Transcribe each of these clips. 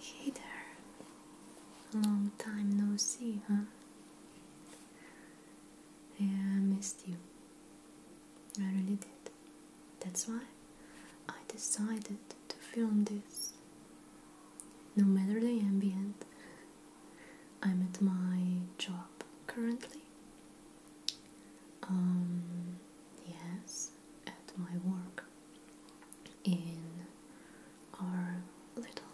Hey there! Long time no see, huh? Yeah, I uh, missed you. I really did. That's why I decided to film this. No matter the ambient, I'm at my job currently. Um, yes, at my work in our little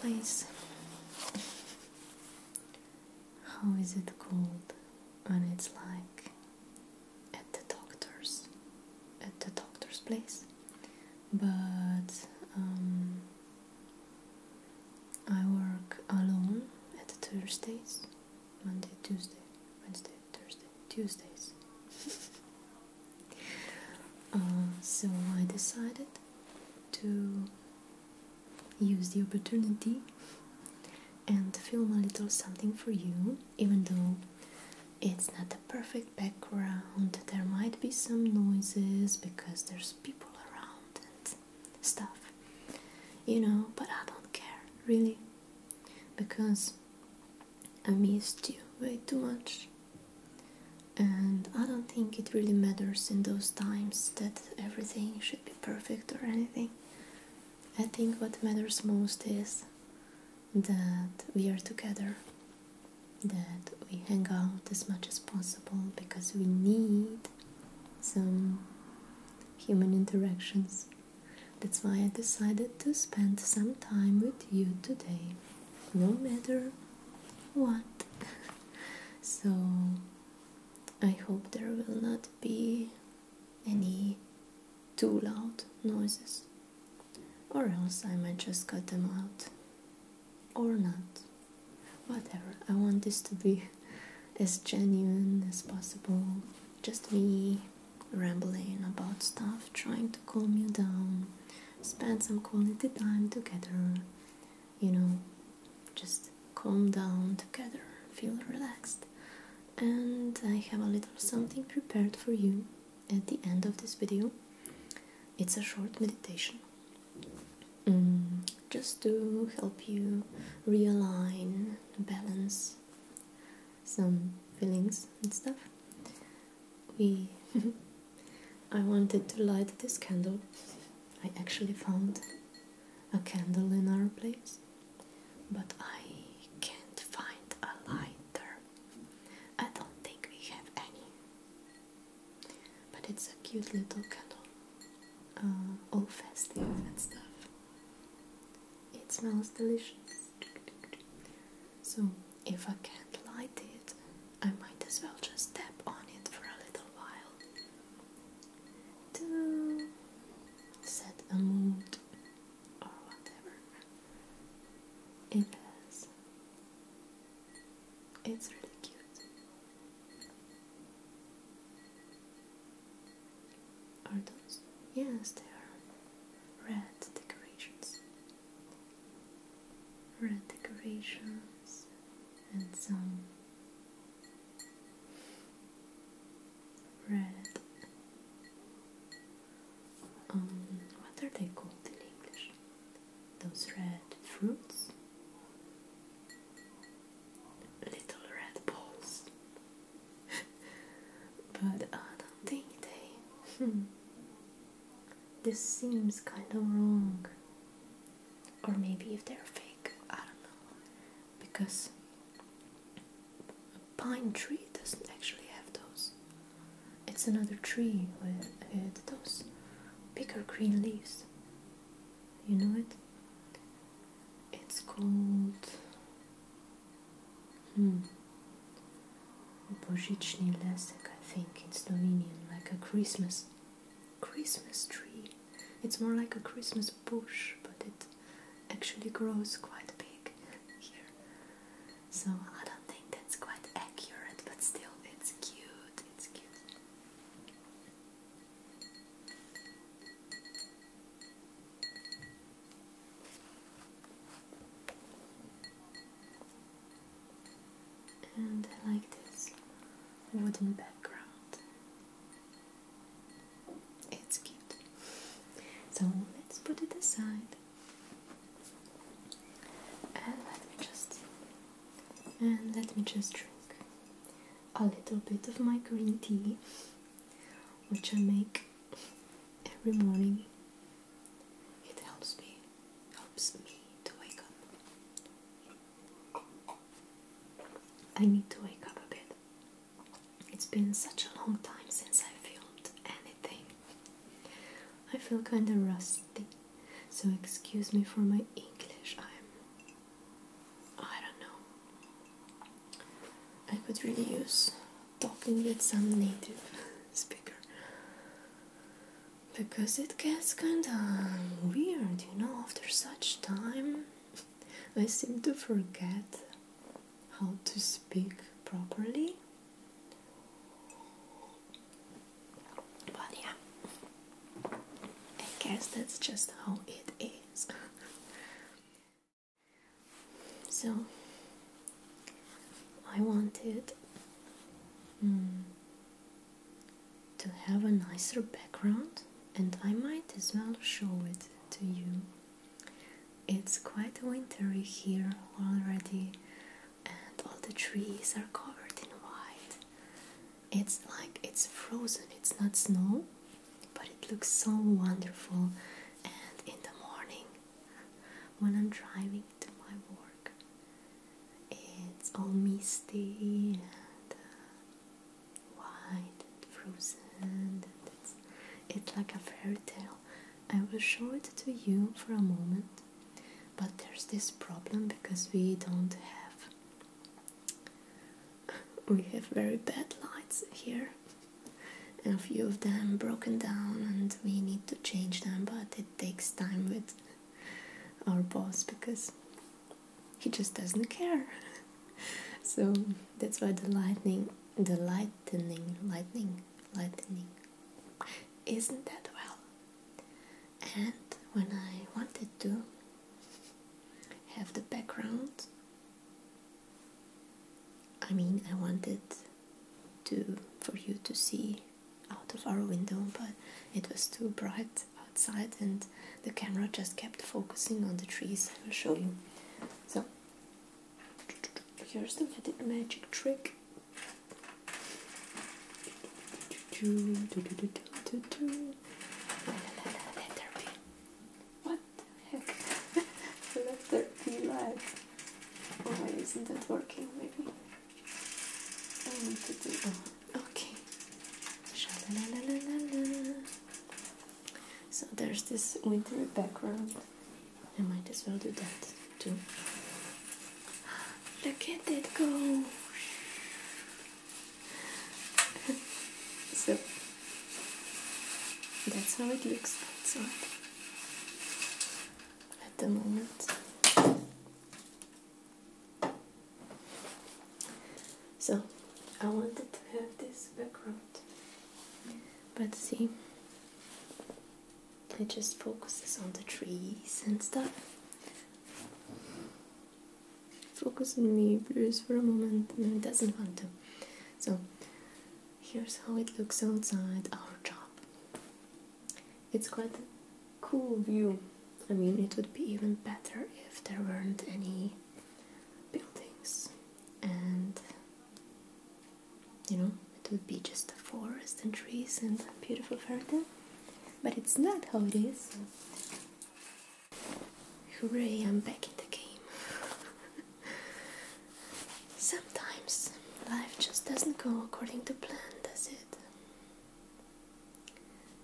place. How is it called when it's like at the doctor's, at the doctor's place? But um, I work alone at Thursdays Monday, Tuesday, Wednesday, Thursday, Tuesdays. Uh, so I decided to use the opportunity and film a little something for you, even though it's not the perfect background. There might be some noises because there's people around and stuff, you know, but I don't care, really because I missed you way too much. And I don't think it really matters in those times that everything should be perfect or anything. I think what matters most is that we are together, that we hang out as much as possible because we need some human interactions. That's why I decided to spend some time with you today, no matter what. so, I hope there will not be any too loud noises, or else I might just cut them out. Or not. Whatever, I want this to be as genuine as possible. Just me rambling about stuff, trying to calm you down, spend some quality time together, you know, just calm down together, feel relaxed. And I have a little something prepared for you at the end of this video. It's a short meditation. Mm, just to help you realign, balance, some fillings and stuff. We I wanted to light this candle. I actually found a candle in our place, but I can't find a lighter. I don't think we have any. But it's a cute little candle, uh, all festive and stuff. It smells delicious. So, if I can't light it, I might as well just tap on it for a little while to set a mood or whatever. It It's really cute. Are those? Yes, they are red decorations. Red decorations and some red. Um, what are they called in English? Those red fruits? Little red balls but I uh, don't think they. Hmm, this seems kind of wrong. Or maybe if they're fake, I don't know. Because a pine tree doesn't actually have those. It's another tree with those bigger green leaves. You know it? It's called Hmm. Opojichny Lesek, I think it's Dominion, like a Christmas Christmas tree. It's more like a Christmas bush, but it actually grows quite big here. So I don't think that's quite accurate, but still it's cute, it's cute. And like this wooden background. It's cute. So let's put it aside. And let me just and let me just drink a little bit of my green tea which I make every morning. It helps me, helps me to wake up. I need to wake up a bit. It's been such a long time since I filmed anything. I feel kinda rusty, so excuse me for my English. I'm. I don't know. I could really use talking with some native speaker because it gets kinda weird, you know, after such time. I seem to forget how to speak properly. But yeah, I guess that's just how it is. So I wanted mm, to have a nicer background, and I might as well show it to you. It's quite wintry here already, and all the trees are covered in white. It's like it's frozen, it's not snow, but it looks so wonderful. And in the morning, when I'm driving to my work. It's all misty and uh, white and frozen, it's, it's like a fairy tale. I will show it to you for a moment, but there's this problem because we don't have we have very bad lights here and a few of them broken down and we need to change them but it takes time with our boss because he just doesn't care so that's why the lightning the lightning lightning lightning isn't that well and when i wanted to have the background i mean i wanted to for you to see out of our window, but it was too bright outside, and the camera just kept focusing on the trees. I will show you. So here's the magic trick. What heck? I P live. Oh, why isn't that working? Maybe I need to do. okay. So there's this wintry background. I might as well do that too. Look at that go! so that's how it looks outside at the moment. So I wanted to have this background, but see, it just focuses on the trees and stuff. Focus on me, Bruce, for a moment, and it doesn't want to. So Here's how it looks outside our job. It's quite a cool view. I mean, it would be even better if there weren't any buildings and you know, it would be just a forest and trees and beautiful fairytale. But it's not how it is. Hooray, I'm back in the game. Sometimes life just doesn't go according to plan, does it?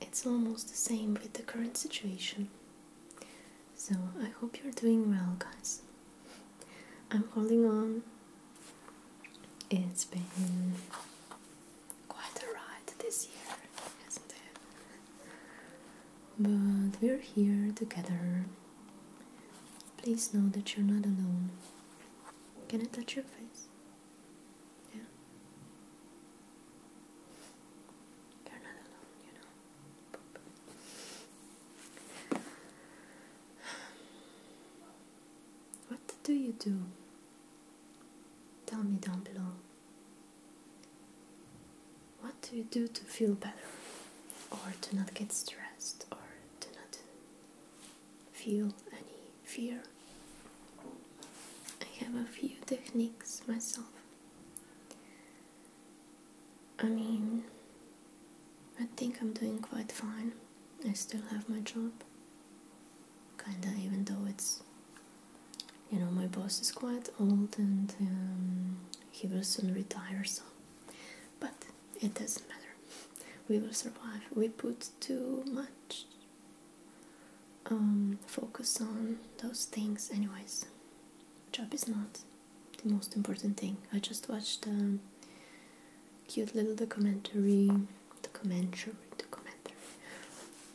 It's almost the same with the current situation. So I hope you're doing well, guys. I'm holding on. It's been quite a ride this year, hasn't it? But we're here together Please know that you're not alone. Can I touch your face? Yeah. You're not alone, you know. What do you do? Tell me down below. What do you do to feel better? Or to not get stressed? Or to not feel any fear. I have a few techniques myself. I mean, I think I'm doing quite fine. I still have my job. Kinda, even though it's, you know, my boss is quite old and um, he will soon retire, so. But it doesn't matter. We will survive. We put too much um, focus on those things, anyways. Job is not the most important thing. I just watched a um, cute little documentary, documentary, documentary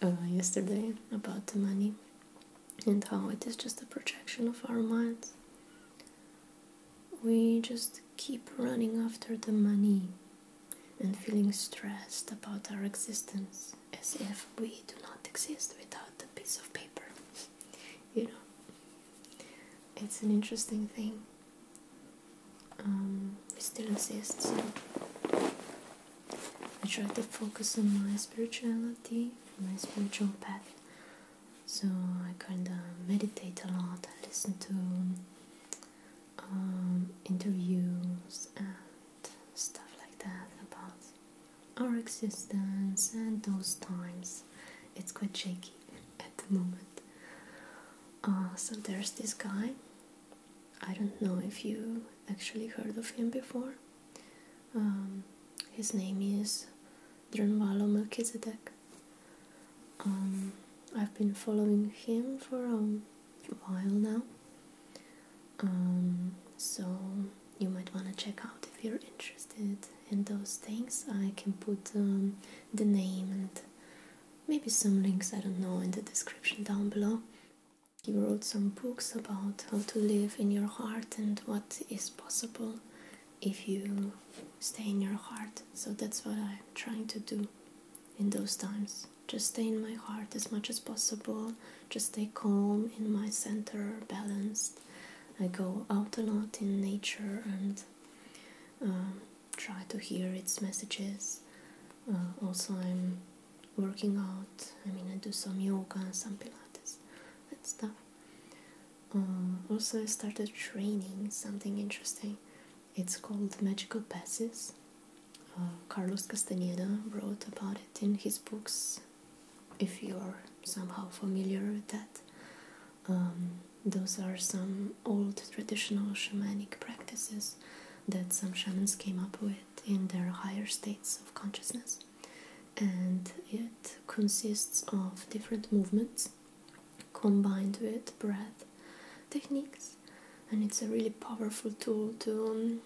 uh, yesterday about the money and how it is just a projection of our minds we just keep running after the money and feeling stressed about our existence as if we do not exist without a piece of paper. you know, it's an interesting thing. Um, we still exist, so I try to focus on my spirituality, my spiritual path, so I kind of meditate a lot. I listen to um, interviews and stuff like that about our existence and those times. It's quite shaky at the moment. Uh, so there's this guy. I don't know if you actually heard of him before. Um, his name is Dronvalo Melchizedek. Um, I've been following him for a while now, um, so you might want to check out if you're interested in those things. I can put um, the name and maybe some links, I don't know, in the description down below. He wrote some books about how to live in your heart and what is possible if you stay in your heart. So that's what I'm trying to do in those times. Just stay in my heart as much as possible, just stay calm in my center, balanced. I go out a lot in nature and um, try to hear its messages. Uh, also, I'm working out. I mean, I do some yoga, some Pilates, that stuff. Um, also, I started training something interesting. It's called Magical Passes. Uh, Carlos Castaneda wrote about it in his books, if you are somehow familiar with that. Um, those are some old traditional shamanic practices that some shamans came up with in their higher states of consciousness, and it consists of different movements combined with breath techniques, and it's a really powerful tool to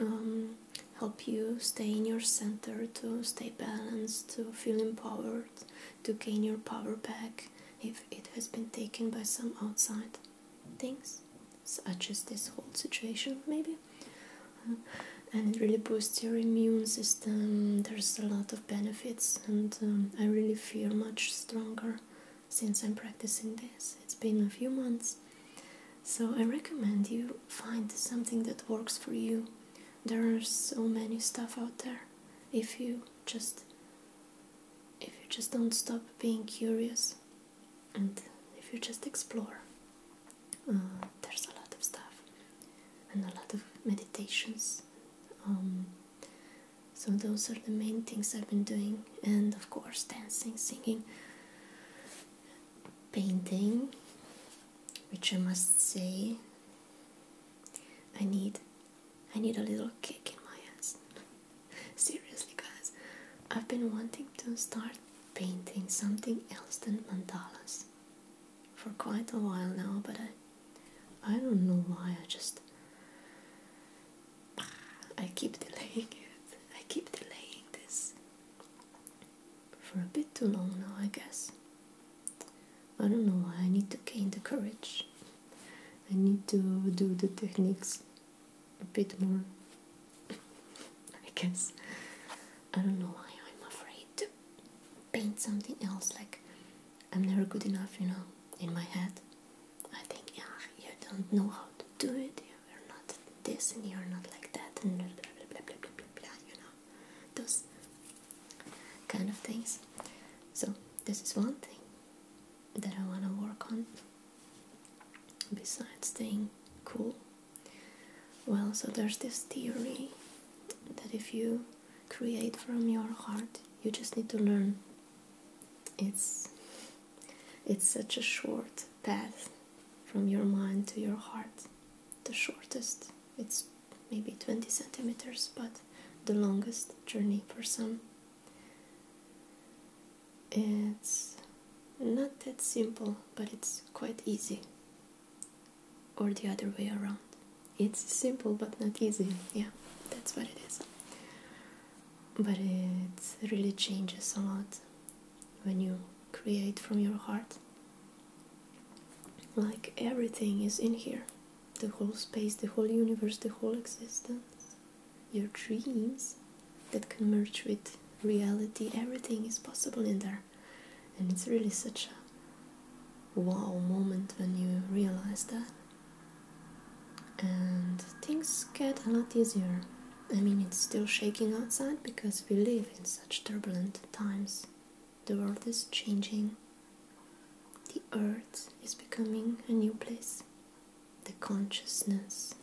um, um, help you stay in your center, to stay balanced, to feel empowered, to gain your power back if it has been taken by some outside things, such as this whole situation, maybe. Uh, and it really boosts your immune system there's a lot of benefits, and um, I really feel much stronger since I'm practicing this. It's been a few months, so I recommend you find something that works for you. There are so many stuff out there. If you just, if you just don't stop being curious, and if you just explore, uh, there's a lot of stuff and a lot of meditations. Um, so those are the main things I've been doing, and of course dancing, singing, painting, which I must say I need I need a little kick in my ass. Seriously guys, I've been wanting to start painting something else than mandalas for quite a while now, but I I don't know why I just I keep delaying it. I keep delaying this for a bit too long now, I guess. I don't know why I need to gain the courage. I need to do the techniques a bit more, I guess. I don't know why I'm afraid to paint something else like I'm never good enough, you know, in my head. I think, yeah, you don't know how to do it, you're not this and you're not like that, and blah, blah, blah, blah, blah, blah, blah you know, those kind of things. So, this is one thing that I want to work on, besides staying cool. Well, so there's this theory that if you create from your heart. You just need to learn. It's it's such a short path from your mind to your heart. The shortest. It's maybe 20 centimeters, but the longest journey for some. It's not that simple, but it's quite easy. Or the other way around. It's simple but not easy. Yeah, that's what it is. But it really changes a lot when you create from your heart. Like everything is in here the whole space, the whole universe, the whole existence, your dreams that can merge with reality. Everything is possible in there. And it's really such a wow moment when you realize that and things get a lot easier. I mean, it's still shaking outside because we live in such turbulent times. The world is changing, the earth is becoming a new place, the consciousness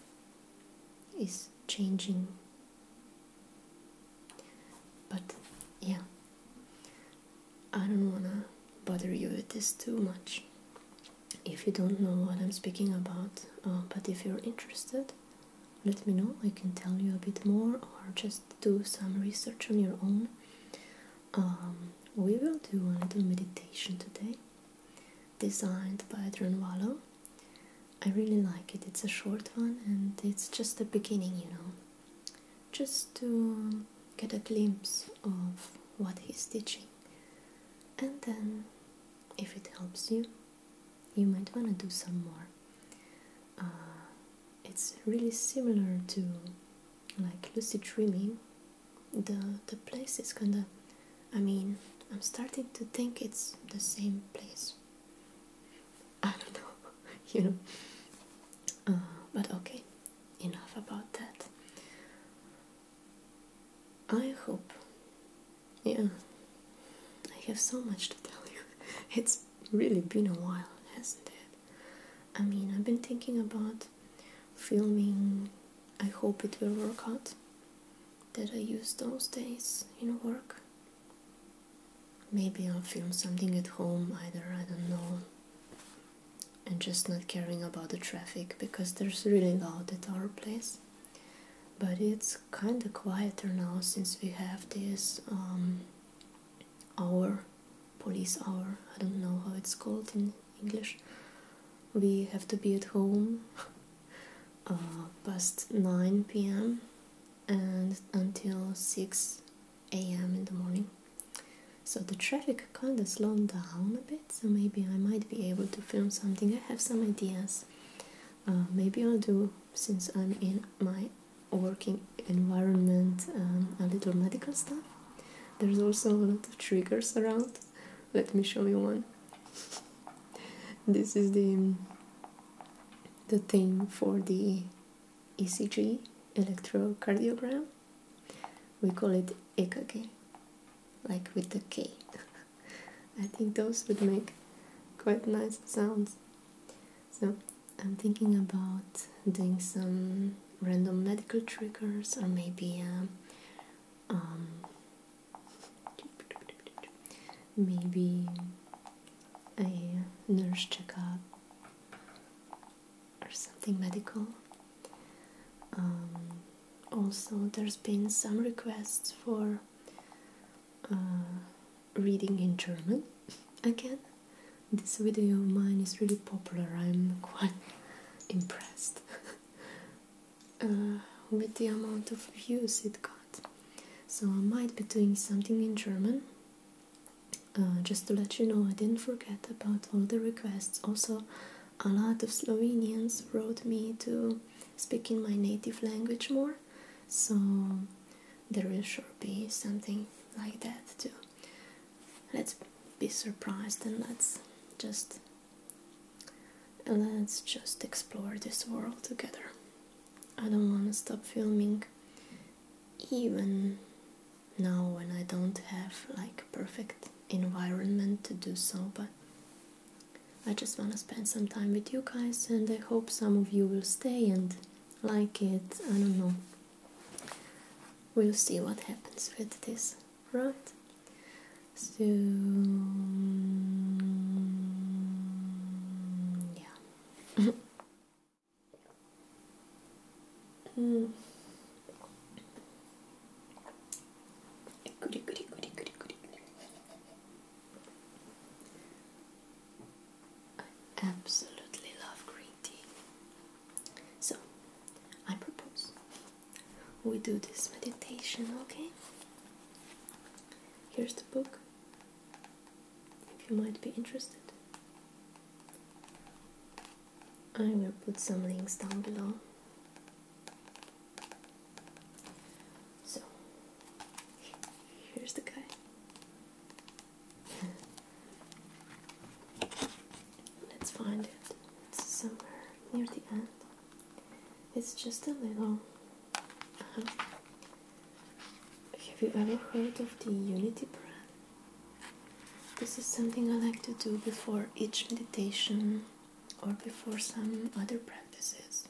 is changing. But yeah, I don't wanna bother you with this too much if you don't know what I'm speaking about, uh, but if you're interested, let me know. I can tell you a bit more or just do some research on your own. Um, we will do a little meditation today, designed by Dranwalo. I really like it, it's a short one and it's just the beginning, you know just to get a glimpse of what he's teaching. And then, if it helps you, you might want to do some more. Uh, it's really similar to like lucid dreaming. The, the place is kinda, I mean, I'm starting to think it's the same place. I don't know, you know. Uh, but okay, enough about that. I hope. Yeah, I have so much to tell you. It's really been a while, hasn't it? I mean, I've been thinking about filming. I hope it will work out that I use those days in work. Maybe I'll film something at home, either, I don't know, and just not caring about the traffic because there's really loud at our place. But it's kind of quieter now since we have this um, hour, police hour. I don't know how it's called in English. We have to be at home uh, past 9 p.m. and until 6 a.m. in the morning. So the traffic kind of slowed down a bit, so maybe I might be able to film something. I have some ideas. Uh, maybe I'll do, since I'm in my working environment, um, a little medical stuff. There's also a lot of triggers around. Let me show you one. This is the the thing for the ECG electrocardiogram we call it ekage, like with the K. I think those would make quite nice sounds. So I'm thinking about doing some random medical triggers or maybe um, um maybe a nurse checkup or something medical. Um, also, there's been some requests for uh, reading in German again. This video of mine is really popular, I'm quite impressed uh, with the amount of views it got. So, I might be doing something in German. Uh, just to let you know, I didn't forget about all the requests. Also, a lot of Slovenians wrote me to speak in my native language more, so there will sure be something like that too. Let's be surprised and let's just let's just explore this world together. I don't want to stop filming even now when I don't have like perfect environment to do so, but I just want to spend some time with you guys, and I hope some of you will stay and like it. I don't know. We'll see what happens with this, right? So, yeah. mm. I absolutely love green tea. So, I propose we do this meditation, okay? Here's the book, if you might be interested. I will put some links down below. So, here's the guy. Let's find it. It's somewhere near the end. It's just a little. Um, have you ever heard of the Unity brand? This is something I like to do before each meditation or before some other practices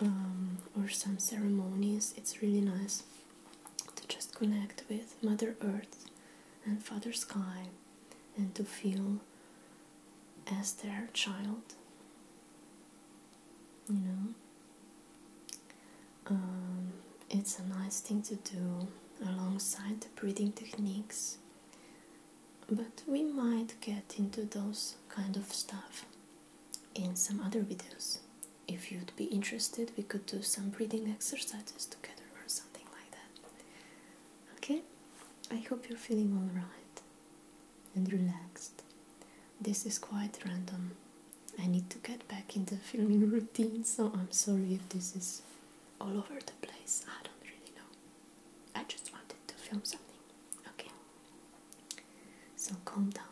um, or some ceremonies. It's really nice to just connect with Mother Earth and Father Sky and to feel as their child. You know? Um, it's a nice thing to do alongside the breathing techniques but we might get into those kind of stuff in some other videos. If you'd be interested, we could do some breathing exercises together or something like that. Okay? I hope you're feeling alright and relaxed. This is quite random. I need to get back in the filming routine, so I'm sorry if this is all over the place. I don't really know. I just wanted to film something. Okay. So calm down.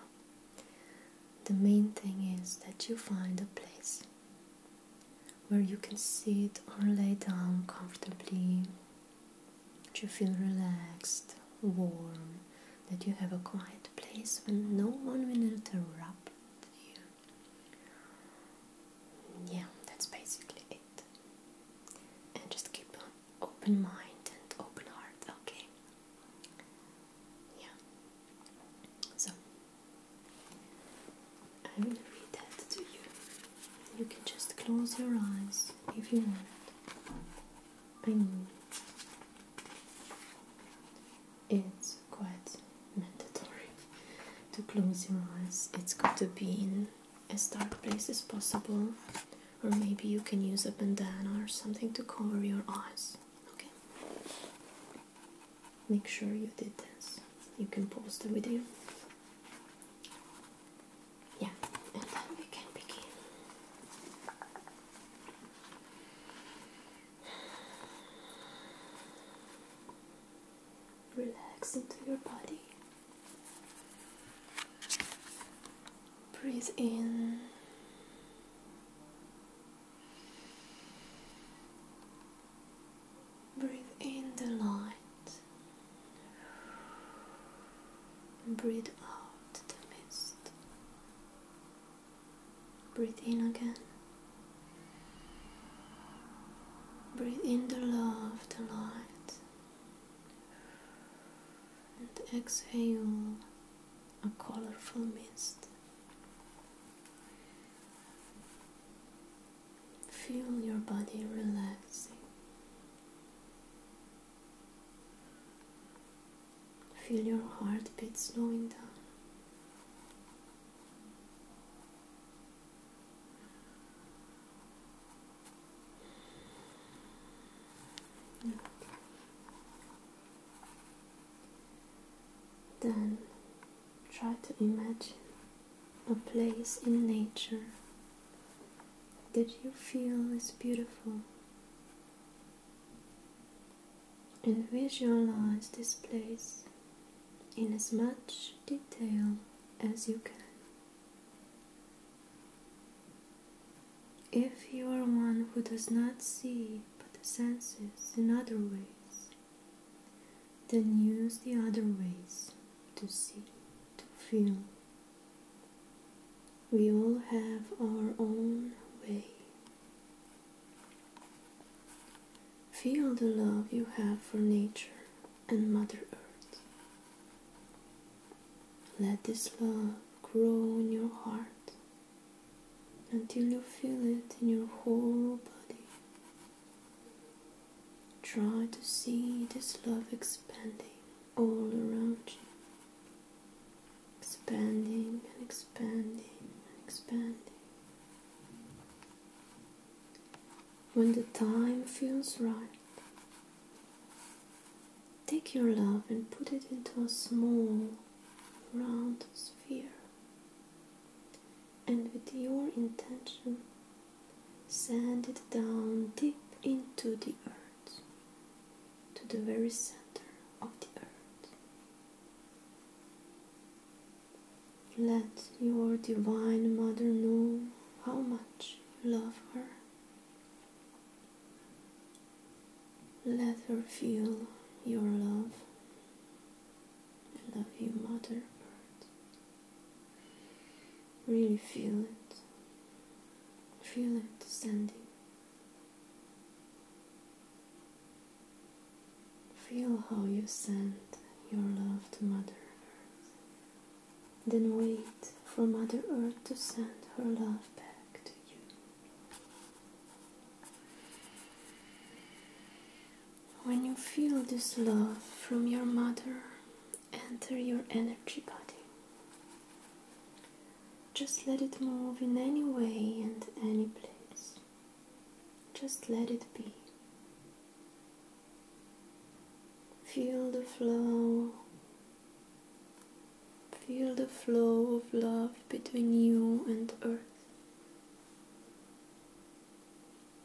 The main thing is that you find a place where you can sit or lay down comfortably, that you feel relaxed, warm, that you have a quiet place where no one will interrupt you, yeah, that's basically it. And just keep an open mind and open heart, okay? Yeah. So, I'm gonna read that to you. You can just close your eyes if you want. I know it's quite mandatory, to close your eyes. It's good to be in as dark place as possible, or maybe you can use a bandana or something to cover your eyes. Okay, make sure you did this. You can pause the video. Yeah, and then we can begin relax into your body. Breathe in. Breathe in the light. Breathe out the mist. Breathe in again. Breathe in the love, of the light, and exhale a colorful mist. Feel your body relaxing. Feel your heartbeat slowing down. Then try to imagine a place in nature that you feel is beautiful and visualize this place in as much detail as you can. If you are one who does not see but the senses in other ways, then use the other ways to see, to feel. We all have our own way. Feel the love you have for nature and Mother Earth. Let this love grow in your heart until you feel it in your whole body. Try to see this love expanding all around you, expanding and expanding and expanding when the time feels right. Take your love and put it into a small, round sphere, and with your intention, send it down deep into the earth, to the very center of the earth. Let your Divine Mother know how much you love her. Let her feel your love. I love you, Mother Earth. Really feel it. Feel it, Sandy. Feel how you send your love to Mother Earth then wait for Mother Earth to send her love back to you. When you feel this love from your mother, enter your energy body. Just let it move in any way and any place. Just let it be. Feel the flow. Feel the flow of love between you and earth.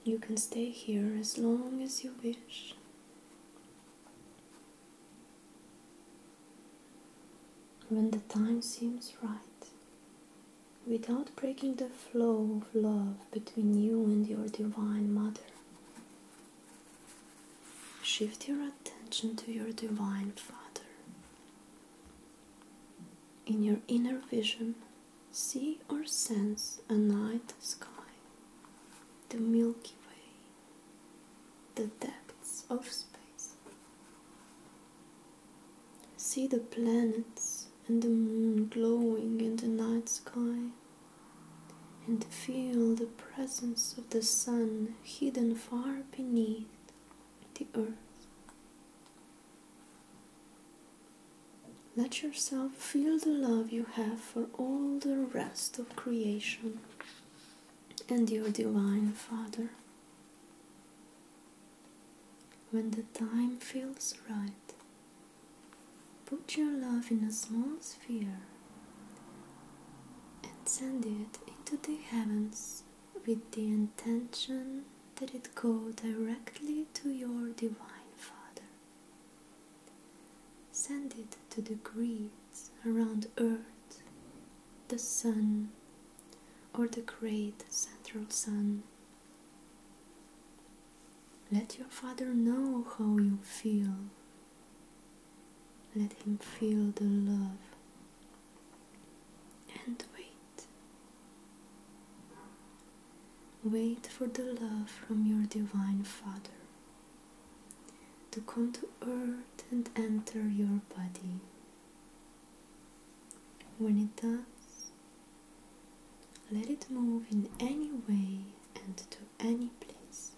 You can stay here as long as you wish. When the time seems right, without breaking the flow of love between you and your Divine Mother. Shift your attention to your Divine Father. In your inner vision, see or sense a night sky, the Milky Way, the depths of space. See the planets and the moon glowing in the night sky and feel the presence of the sun hidden far beneath the earth. Let yourself feel the love you have for all the rest of creation and your Divine Father. When the time feels right, Put your love in a small sphere and send it into the heavens with the intention that it go directly to your Divine Father. Send it to the grids around Earth, the Sun, or the Great Central Sun. Let your father know how you feel. Let him feel the love. And wait. Wait for the love from your Divine Father to come to earth and enter your body. When it does, let it move in any way and to any place.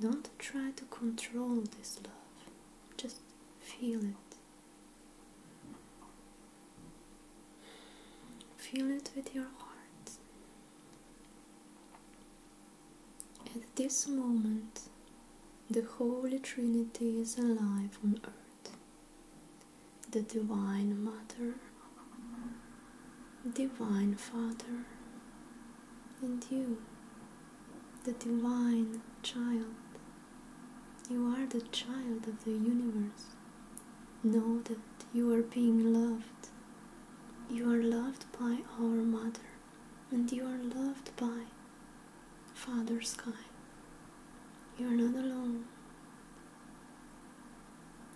Don't try to control this love, just feel it. Feel it with your heart. At this moment, the Holy Trinity is alive on earth the Divine Mother Divine Father, and you, the Divine Child. You are the child of the universe. Know that you are being loved. You are loved by our Mother, and you are loved by Father Sky. You are not alone.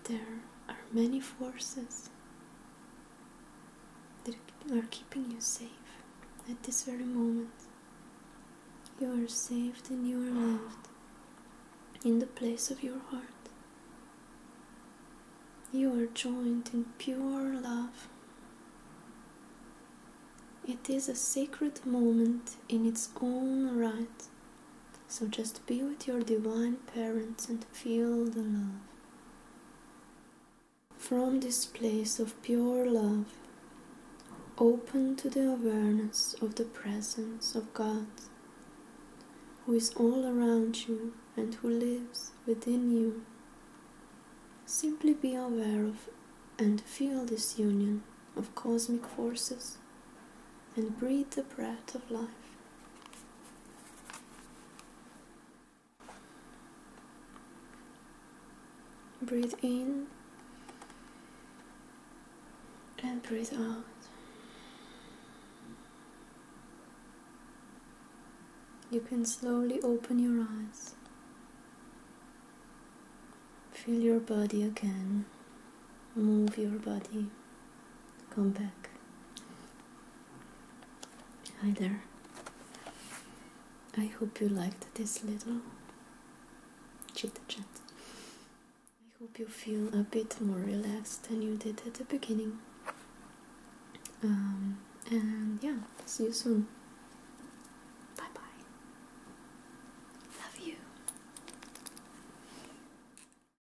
There are many forces that are keeping you safe at this very moment. You are saved and you are loved in the place of your heart. You are joined in pure love. It is a sacred moment in its own right. So just be with your divine parents and feel the love. From this place of pure love, open to the awareness of the presence of God, who is all around you and who lives within you. Simply be aware of and feel this union of cosmic forces and breathe the breath of life. Breathe in and breathe out. You can slowly open your eyes. Feel your body again move your body. Come back. Hi there. I hope you liked this little chit chat. I hope you feel a bit more relaxed than you did at the beginning. Um, and yeah, see you soon. Bye bye. Love you.